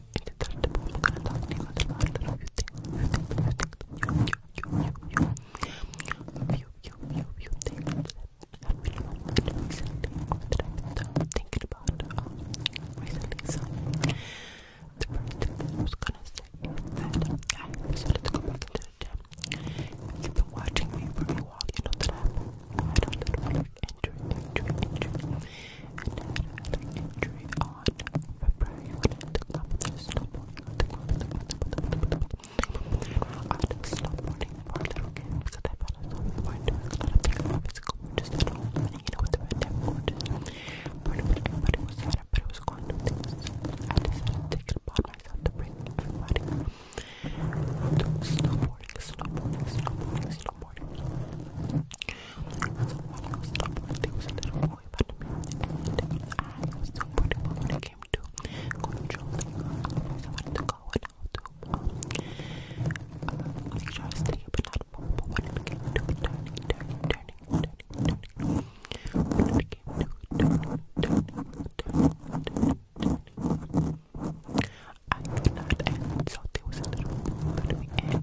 thinking about recently. So, I was gonna say that I decided to go back into the gym. you've been watching me for a while, you know that I've had a little injury, injury, injury, and had another injury on February when I took off the snowboarding, I took off the, I took snowboarding for a little game because I felt as though we weren't doing a lot of things for physical, just at home, and you know, with the red tip gorgeous, but everybody was sad, but it was going to things, so I decided to take it upon myself to bring everybody snowboarding, snowboarding, snowboarding, snowboarding was was a little boy, but I was so pretty, when it came to controlling her, I wanted to go and how to I stay up and not move, but when it came to turning, turning, turning, turning, when it came to turning, turning, turning, turning, turning, I could not, and so there was a little boy, and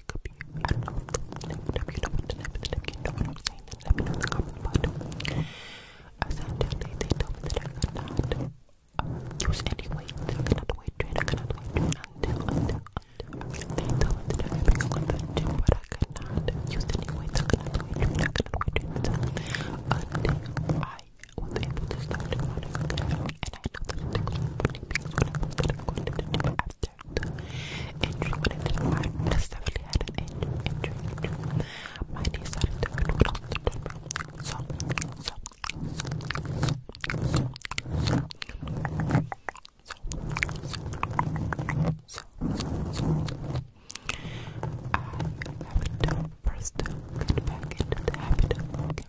it could be you. I know. you know what I'm saying, let me know the comment I tell you, they told me that I use any weight. I cannot weight train. I cannot weight train until, until, until. They told me that I to the I could not use any weight. I cannot weight train. I cannot weight train until, until I was able to start running again. And I know that it takes so many things when I was going to go subject. Injury I haven't first get back into the habit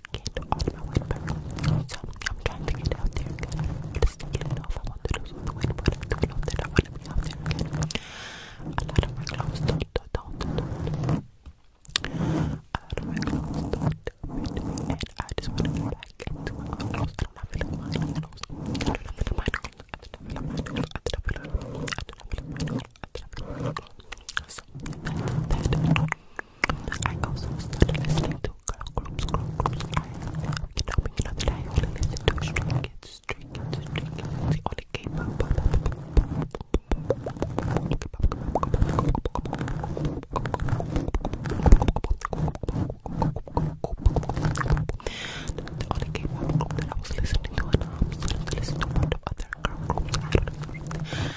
get all of my white powder. So I'm trying to get out there again. Just get it off. I want to do something with I want to my clothes don't, do I want to get back into I don't feel like my clothes. I don't feel I don't feel like my clothes. I don't feel like I don't feel like my clothes. So that I also listening to girl groups, I you know, you know that I listen to stray kids, stray kids, stray kids. the only k The only k I was listening to, and I started to listen to of other girl groups.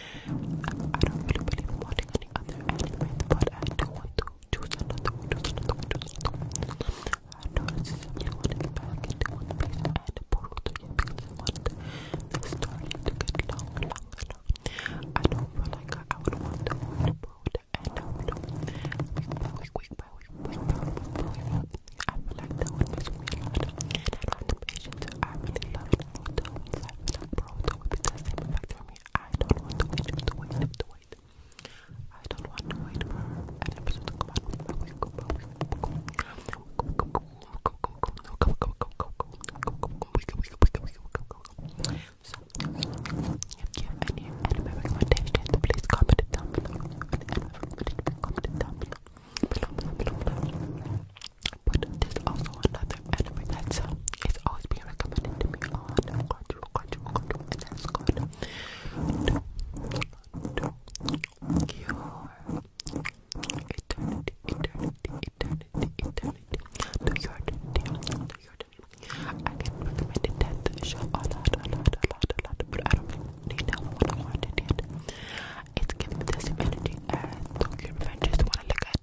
I don't really believe in watching any other anime, but I do want to choose another one, choose another one, choose another one. I know this is really want to get back into One Piece and Portal 3 because I want the story to get long, long, long. I don't feel like I would want to watch Portal and I would week by week, week by week, week by week, week by week. I feel like that would miss me a lot. And I don't have the patience. I really love Naruto. I feel like Naruto would be the same effect for me. I don't want to wait, don't wait, to wait. I don't want to wait for an episode to come out. So, if you have any anime recommendations, please comment it down below. Comment it down below. Below, below, below. But there's also another Anyway, that's uh, it's always being recommended to me on cardio, cardio, cardio, and that's good. your eternity, eternity, eternity, eternity, to your eternity, to your eternity. I get recommended that show a lot, a lot, a lot, a lot, but I don't need that one. I wanted it. It's giving me the same energy as Tokyo Revengers when I look at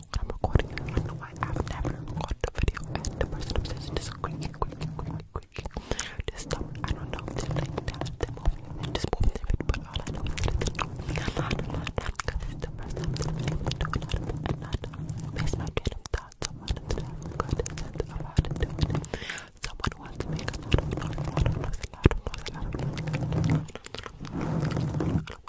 when I'm recording. I know I have never recorded a video and the person obsessed is squeaky, squeaky, squeaky, squeaky. This stuff, I don't know if they like that, they're moving, they're just moving their feet, but all I know is that it's moving a lot, a lot, because it's the first time that I've ever done it, and not face my random thoughts about it that I've got to set about it doing it. Someone wants to make a lot of noise, a lot of noise, a lot of noise, a lot of noise.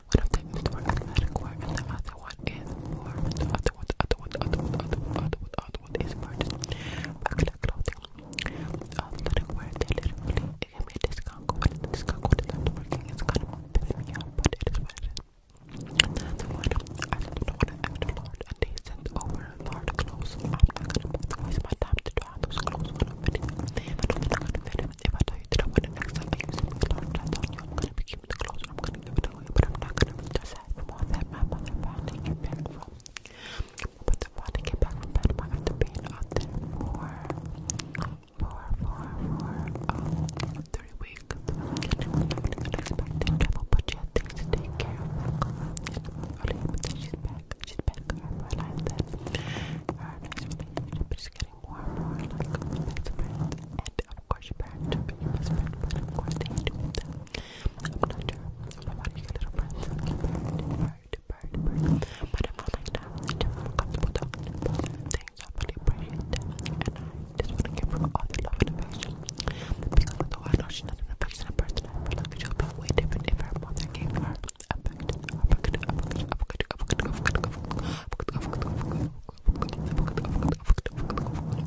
One of them is for athletic wear and the other one is for the other one, the other one, other one, other one, other one is for regular clothing. Athletic um, wear, they literally give me a discount code and this code is not working. It's kind of but it is what And the other one, I don't know what I actually ordered and they sent over I'm not gonna waste my time to draw those clothes on a not gonna fit if I tell you that I want an next time I use it for the long time, you I'm gonna be keeping the clothes and I'm gonna give it away, but I'm not gonna be just happy more that my mother finally came back from. But the father came back from Panama after being out there for, for, for, for, um, 30 weeks. And it was really unexpected travel, but she had things to take care of. Like, early, but then she's back. She's back. I realized that her next relationship is gonna getting more and of course, your parents of course, they do I'm not sure about your little friends, like your bird, bird, bird. But I feel like now it's comfortable talking things. I really appreciate that. And I just want to give her all the love and affection. Because although I know she's not an affectionate person, I feel like she'll be way different if her mother gave her affection. Affection, affection, affection, affection, affection, affection, affection, affection, I felt as if our mother gave us our affection I wanted,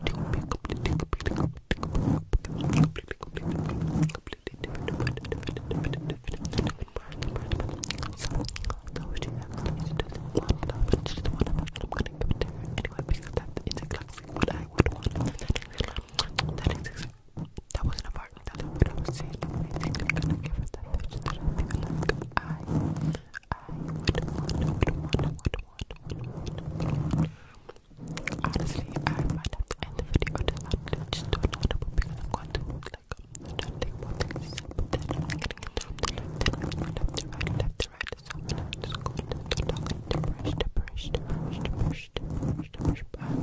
then to be completely, completely, completely, completely, completely different, different, different, different person, person, So, so she actually she doesn't want love, but she doesn't want I'm gonna give it to her anyway I would that wasn't a part. That's what I was saying. I am gonna give it that I I, want, would want, would want, would want, Honestly, I might end the video I'm going to like I'm getting I'm going to take it out. I am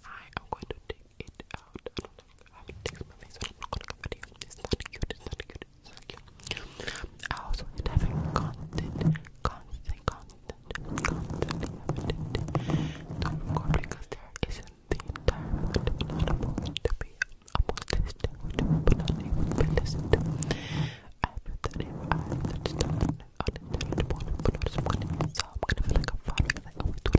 going to take it out. I would text my face when I'm recording a video. It's not cute, it's not cute, it's not cute. I also hate having constant, constant, constant, constant evident to record because there isn't the entire amount of audible to be able to listen to, but not able to listen to. I feel that if I touch down on the intelligible, but not disappointed, so I'm gonna feel like I'm falling, like I always do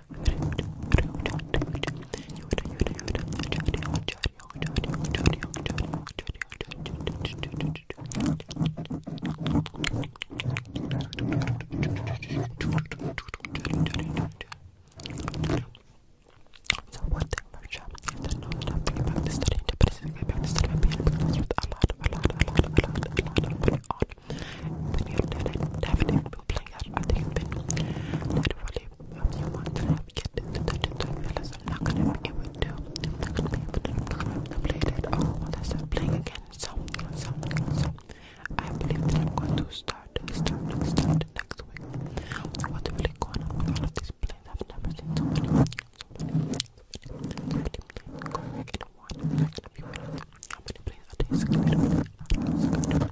So one thing for sure is that not enough people have to study independently, people have to study being because with a lot, a lot, a lot, a lot, a lot of going on. When you did it, definitely people playing I think it been if you want to get into touch with I realize I'm not gonna be able to I'm not gonna be able to play that all unless I'm playing again. So so so I believe that I'm going to start start start next week. What's really going on with these plays? I've never seen so many so many so many How many plays are these?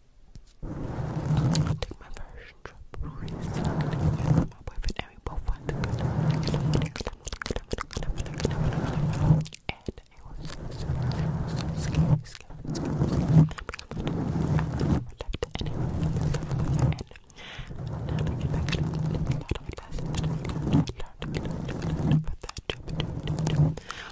I took my first trip recently with my boyfriend and we both went and it was super, super scary, scary, scary, scary. And it was so fun and now looking back at it, there's a lot of lessons that I learned, learned, learned, learned, learned from that trip, trip, trip, trip.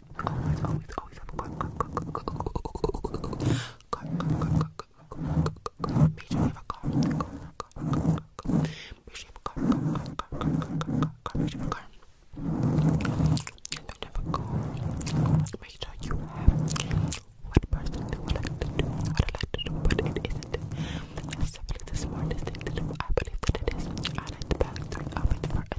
always, always, always have a quiet, quiet, quiet, quiet, quiet, Make sure you have what person do what I like to do, what I like to do, but it isn't necessarily the smartest thing to do. I believe that it is. I like to balance it up with for a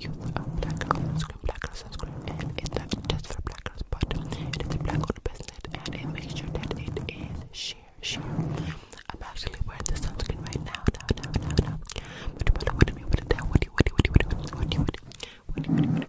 youth of black girls sunscreen, black girl sunscreen, and it's just for black girls, but it is a black owned business, and it makes sure that it is sheer, sheer. I'm actually wearing the sunscreen right now, what do you put what do you, what what do you, what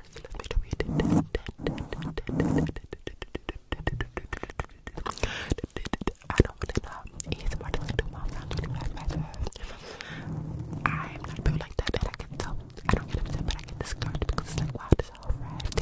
first. Let I don't really know. He's more than two miles around the I'm not built like that, and I can tell. I don't get upset, but I get discouraged because it's like, wow, this is all right. Things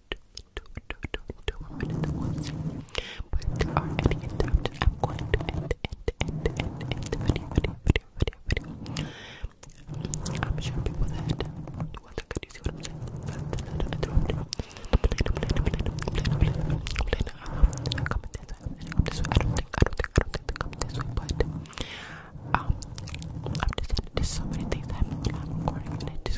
but there are any interruptions, I'm going to end, end, end, end, end the video, video, video, video, video. I'm sure people that well, look at you see what I'm saying. But I don't interrupt. I don't think, I don't think, I don't think they come this way, but um, I'm just saying, there's so many things that I'm recording and I just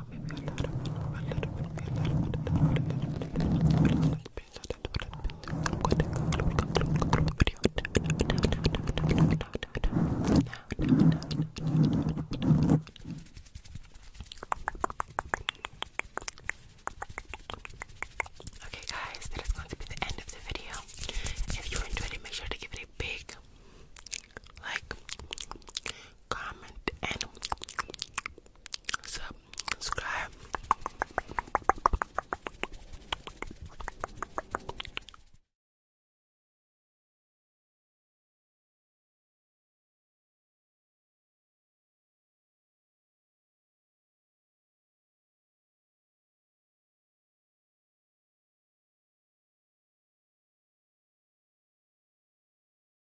Okay, guys, that is going to be the end of the video. If you enjoyed it, make sure to give it a big like, comment, and subscribe.